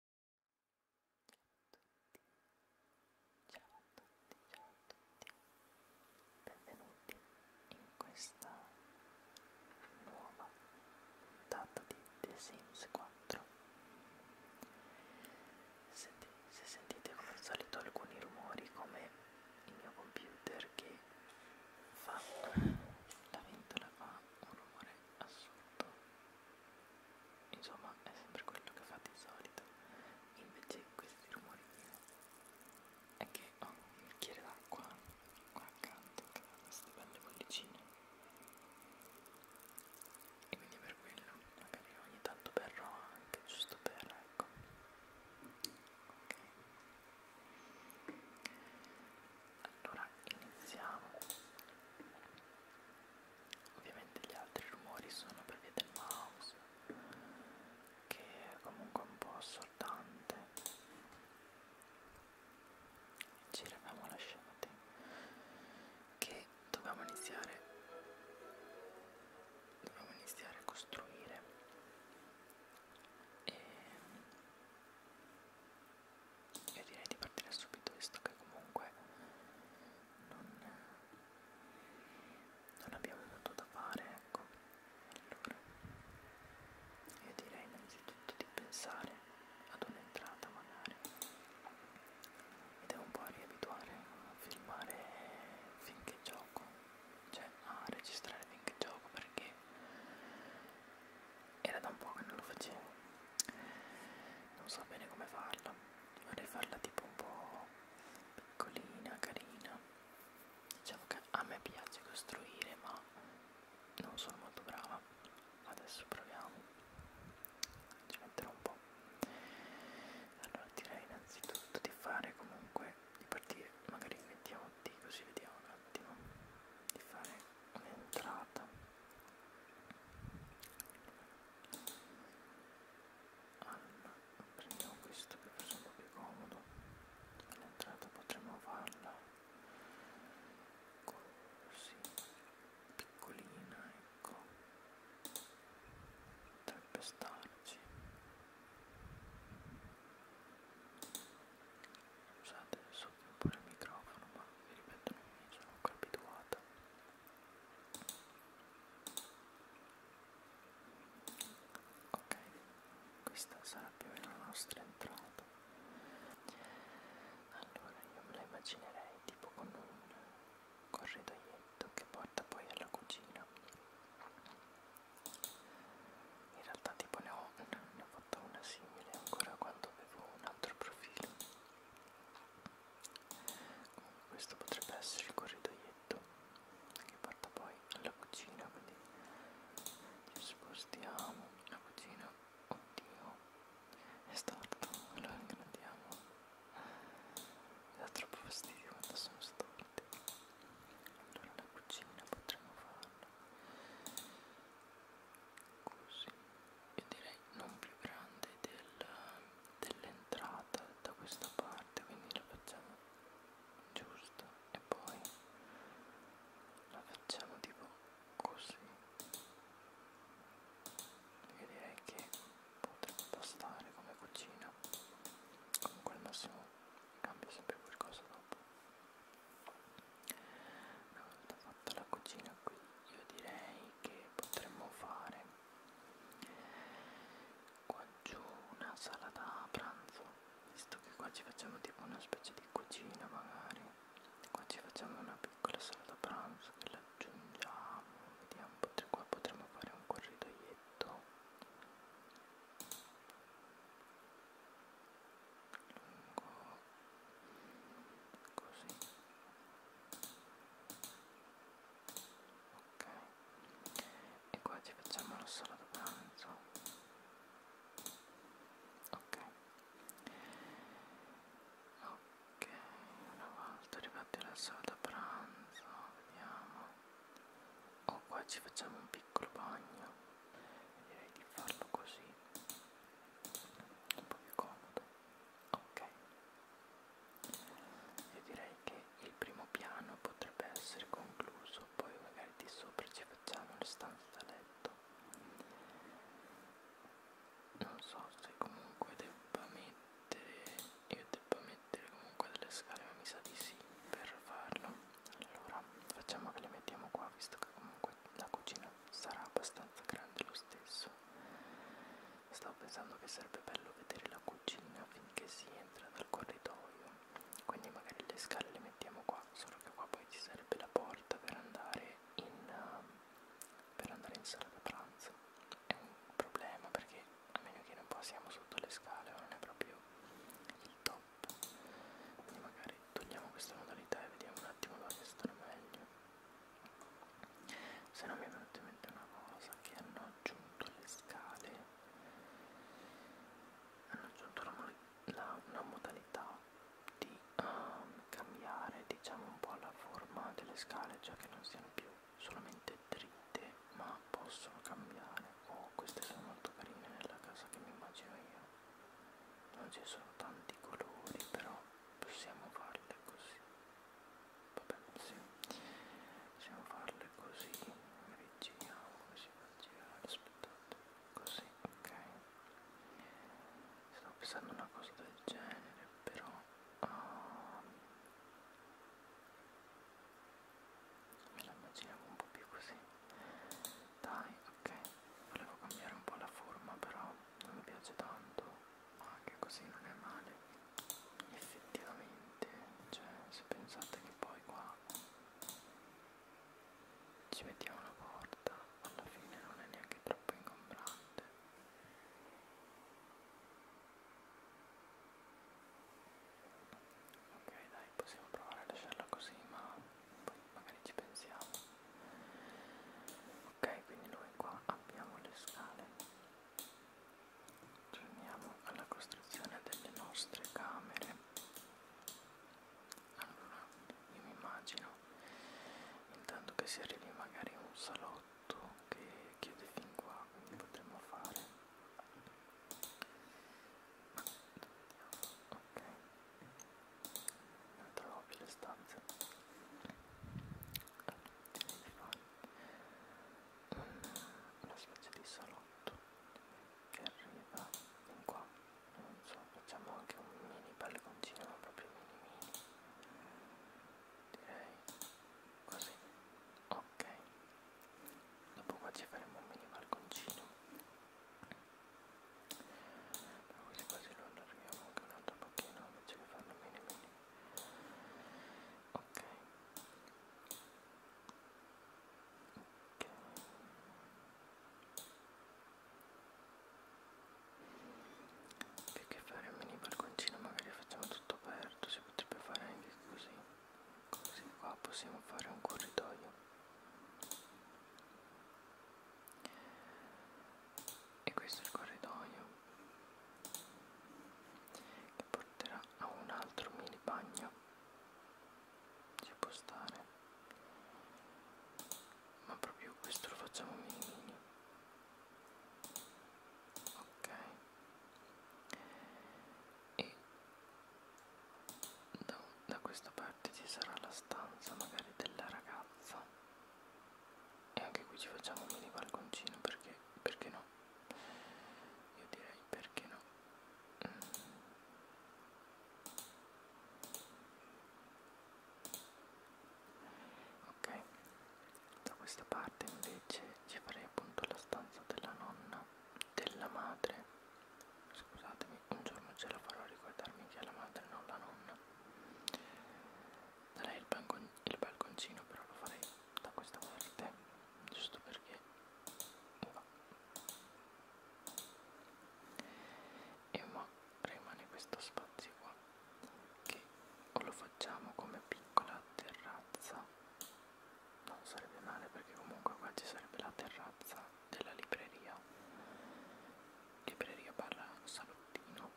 Ciao a tutti, ciao a tutti, benvenuti in questa nuova puntata di The Sims 4. Se, se sentite come al solito alcuni rumori come il mio computer che fa la ventola fa un rumore assurdo insomma è sempre quello che fa di solito invece questi rumori è che ho un bicchiere d'acqua qua accanto che ha queste belle bollicine e quindi per quello magari ogni tanto berrò anche giusto per ecco ok allora iniziamo ovviamente gli altri rumori sono per via del mouse che è comunque un po' assordante ci eravamo lasciati che dovevamo iniziare dovevamo iniziare a costruire e ehm, io direi di partire subito visto che comunque non, non abbiamo molto da fare, ecco. Allora, io direi innanzitutto di pensare ad un'entrata magari. Mi devo un po' riabituare a filmare finché gioco, cioè a registrare finché gioco perché era da un po' che non lo facevo non so bene come farla vorrei farla tipo un po' piccolina carina diciamo che a me piace costruire ma non sono molto brava adesso proviamo ci metterò un po' allora direi innanzitutto di fare comunque di partire magari mettiamo D così vediamo un attimo di fare l'entrata allora prendiamo questo che forse è un po' più comodo l'entrata potremmo farla così piccolina ecco potrebbe starci Scusate, soffio un po' il microfono, ma vi ripeto, non mi sono ancora abituata. Ok, questa sarà più o meno la nostra entrata. Allora, io me la immaginerei tipo con un corridoietto che porta poi alla cucina. In realtà tipo ne ho, ne ho fatta una simile ancora quando avevo un altro profilo comunque questo potrebbe essere il corridoietto che porta poi alla cucina quindi ci spostiamo la cucina oddio è storto allora ingrandiamo mi dà troppo fastidio quando sono storti allora la cucina potremmo farla così io direi non più grande del, dell'entrata da questa parte quindi la facciamo giusta e poi la facciamo tipo così io direi che potrebbe bastare come cucina comunque al massimo cambia sempre qualcosa dopo una volta fatta la cucina qui io direi che potremmo fare qua giù una sala da pranzo, visto che qua ci facciamo tipo una specie di cucina magari, qua ci facciamo una piccola sala da pranzo che l'aggiungiamo, vediamo, potre, qua potremmo fare un corridoietto così ok e qua ci facciamo lo solo da pranzo ok ok una volta arrivati alla sala da pranzo vediamo o oh, qua ci facciamo un piccolo bagno direi di farlo così un po' più comodo ok io direi che il primo piano potrebbe essere concluso poi magari di sopra ci facciamo le stanze da letto non so se comunque debba mettere io debba mettere comunque delle scale ma mi sa di sì per farlo allora facciamo che le mettiamo qua visto che comunque la cucina sarà abbastanza grande lo stesso stavo pensando che sarebbe bello vedere la cucina finché si entra dal corridoio quindi magari le scale le mettiamo qua solo che qua poi ci sarebbe la porta per andare in eh, per andare in sala da pranzo è un problema perché a meno che non passiamo sotto le scale non è proprio il top troppo quindi magari togliamo questa modalità e vediamo un attimo dove stare meglio se no mi è venuta in mente una cosa che hanno aggiunto le scale hanno aggiunto una, la, una modalità di um, cambiare diciamo un po' la forma delle scale cioè che non siano più solamente dritte ma possono cambiare. Oh, queste sono molto carine nella casa che mi immagino io. Non ci sono tanti colori, però possiamo farle così. Vabbè, sì. Possiamo farle così. Rigiriamo così per girare. Aspettate. Così, ok. Stavo pensando una cosa del genere, però... Um, me la immaginavo un po' più così dai ok volevo cambiare un po' la forma però non mi piace tanto ma anche così non è male effettivamente cioè se pensate che poi qua ci mettiamo una porta alla fine non è neanche troppo ingombrante Ok dai, possiamo provare a lasciarla così, ma poi magari ci pensiamo. Ok, quindi noi qua abbiamo le scale. Torniamo alla costruzione delle nostre camere. Allora, io mi immagino intanto che si arrivi magari a un salotto che chiude fin qua, quindi potremmo fare ok non trovo più le stanze allora, una specie di salotto che arriva fin qua non so facciamo anche un mini balconcino ma proprio mini mini direi così ok dopo qua ci faremo un mini balconcino ma quasi quasi lo allarghiamo anche un altro pochino invece che farlo mini mini ok ok più che fare un mini balconcino magari facciamo tutto aperto si potrebbe fare anche così così qua possiamo fare un corridoio e questo è il corridoio che porterà a un altro mini bagno ci può stare ma proprio questo lo facciamo mini mini ok e da, da questa parte ci sarà la stanza magari della ragazza e anche qui ci facciamo un mini balconcino perché perché no io direi perché no mm. ok da questa parte invece ci farei appunto la stanza della nonna della madre scusatemi un giorno ce la farò ricordarmi che è la madre non la nonna darei il, balcon il balconcino però lo farei da questa parte giusto perché va e ma rimane questo spazio qua che o lo facciamo come piccola terrazza non sarebbe male perché comunque qua ci sarebbe la terrazza della libreria libreria barra salottino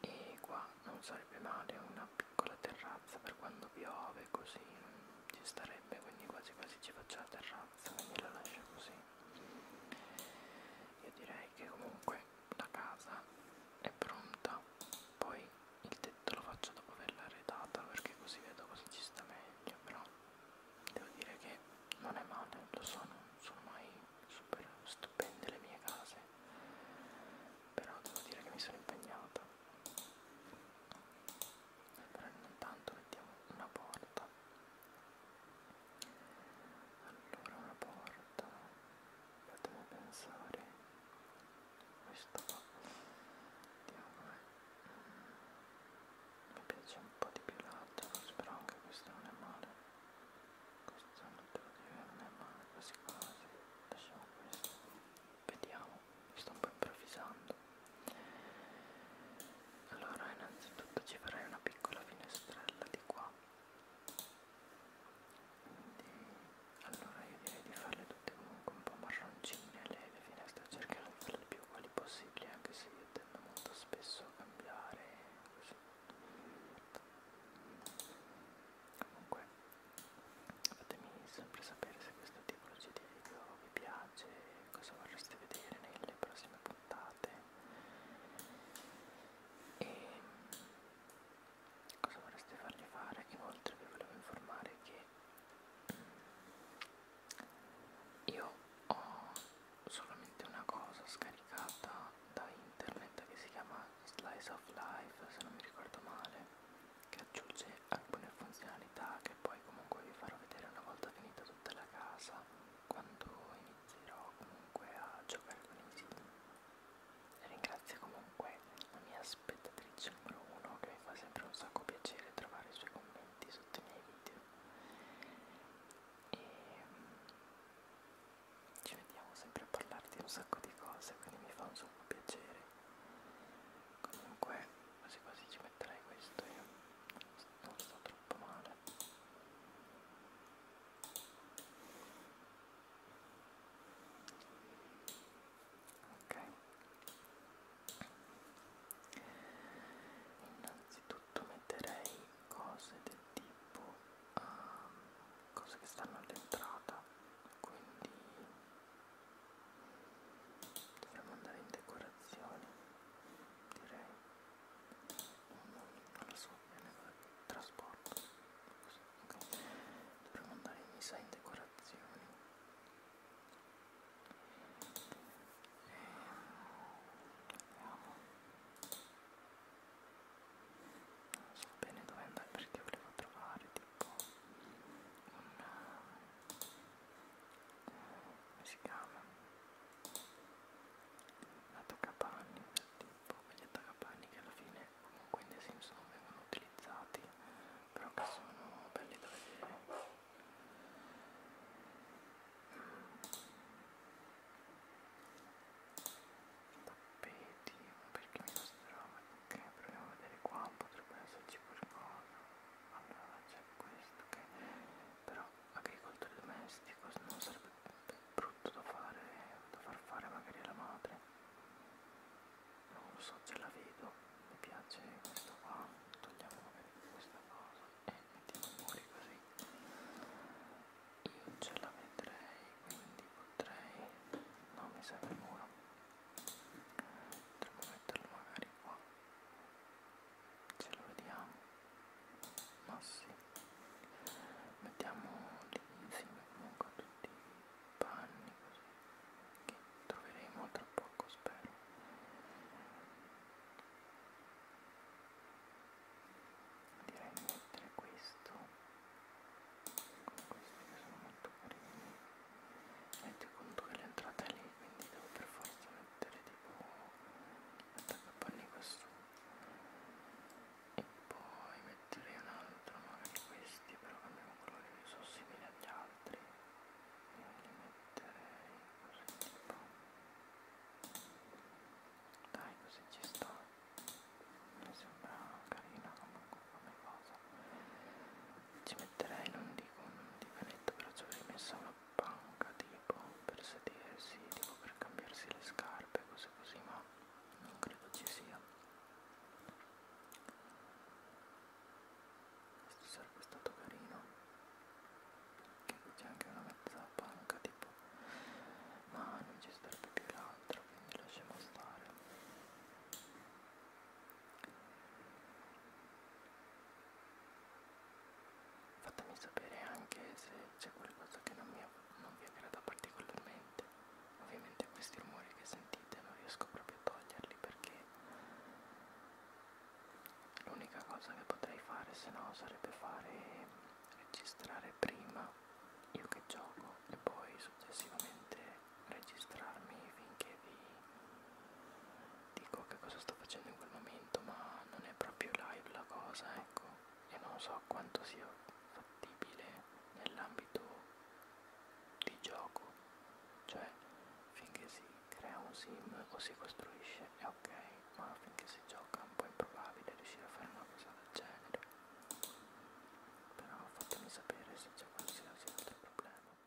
e qua non sarebbe male una piccola terrazza per quando piove così ci starebbe quindi quasi quasi ci faccio la terrazza quindi la lascio così io direi che comunque la casa è pronta poi il tetto lo faccio dopo averla arredata perché così vedo cosa ci sta meglio però devo dire che non è male lo so non sono mai super stupende le mie case però devo dire che mi sono impegnata però intanto mettiamo una porta allora una porta fatemi pensare questo qua diavolo mi piace un po' di più l'altro però anche questo non è male questo non te lo dire non è male quasi quasi lasciamo questo vediamo sto un po' improvvisando allora innanzitutto ci farei una piccola finestrella di qua allora io direi di farle tutte comunque un po' marroncine le, le finestre, cercherò di farle più uguali possibili anche se io tendo molto spesso a cambiare così. Comunque fatemi sempre sapere se questo tipologia di video vi piace, cosa vorreste vedere nelle prossime puntate e cosa vorreste fargli fare inoltre vi volevo informare che mm, io ho solamente una cosa scaricata da internet che si chiama Slice of Life se non mi ricordo male che aggiunge alcune funzionalità che poi comunque vi farò vedere una volta finita tutta la casa quando inizierò comunque a giocare con i sim Ringrazio comunque la mia spettatrice numero uno che mi fa sempre un sacco piacere trovare i suoi commenti sotto i miei video. E ci vediamo sempre a parlare di un sacco di cose, quindi mi fa un sacco piacere. Comunque quasi quasi ci metterei questo io. Non sto troppo male ok innanzitutto metterei cose del tipo uh, cose che stanno all'entrata quindi dovremmo andare in decorazione direi alla sua premessa del trasporto okay. dovremmo andare in messa in decorazioni e... Ehm, andiamo non so bene dove andare perché volevo trovare tipo un eh, come si chiama attaccapanni del tipo quegli attaccapanni che alla fine comunque nei Simpson vengono utilizzati però che sono belli da vedere mm. tappeti perché mi mostrava ok proviamo a vedere qua potrebbe esserci qualcosa allora c'è questo che però agricoltore domestico non sarebbe brutto da fare da far fare magari alla madre non lo so ce la vedo mi piace questo qua togliamo magari questa cosa e mettiamo i muri così io ce la vedrei quindi potrei no mi serve il muro potremmo metterlo magari qua ce lo vediamo ma sì mettiamo lì insieme comunque tutti i panni così che troveremo tra poco spero direi mettere questo con questi che sono molto carini metti conto che l'entrata è lì quindi devo per forza mettere tipo un attaccapannico su e poi metterei un altro magari questi però cambiamo colore che sono simili agli altri quindi li metterei così tipo dai così ci sta mi sembra carina comunque come cosa ci metterei non dico un divanetto però ci avrei messo una panca tipo per sedersi, tipo per cambiarsi le scarpe, cose così, ma non credo ci sia. Questo sarebbe stato carino. Che qui c'è anche una mezza panca tipo, ma non ci starebbe più l'altra, quindi lasciamo stare. Fatemi sapere anche se c'è qualcosa che non, mi, non vi aggrada particolarmente. Ovviamente questi rumori che sentite non riesco proprio a toglierli perché l'unica cosa che potrei fare se no sarebbe fare registrare prima io che gioco e poi successivamente registrarmi finché vi dico che cosa sto facendo in quel momento ma non è proprio live la cosa ecco e non so quanto sia fattibile nell'ambito di gioco cioè finché si crea un sim o si costruisce è ok ma finché si gioca è un po' improbabile riuscire a fare una cosa del genere però fatemi sapere se c'è qualsiasi altro problema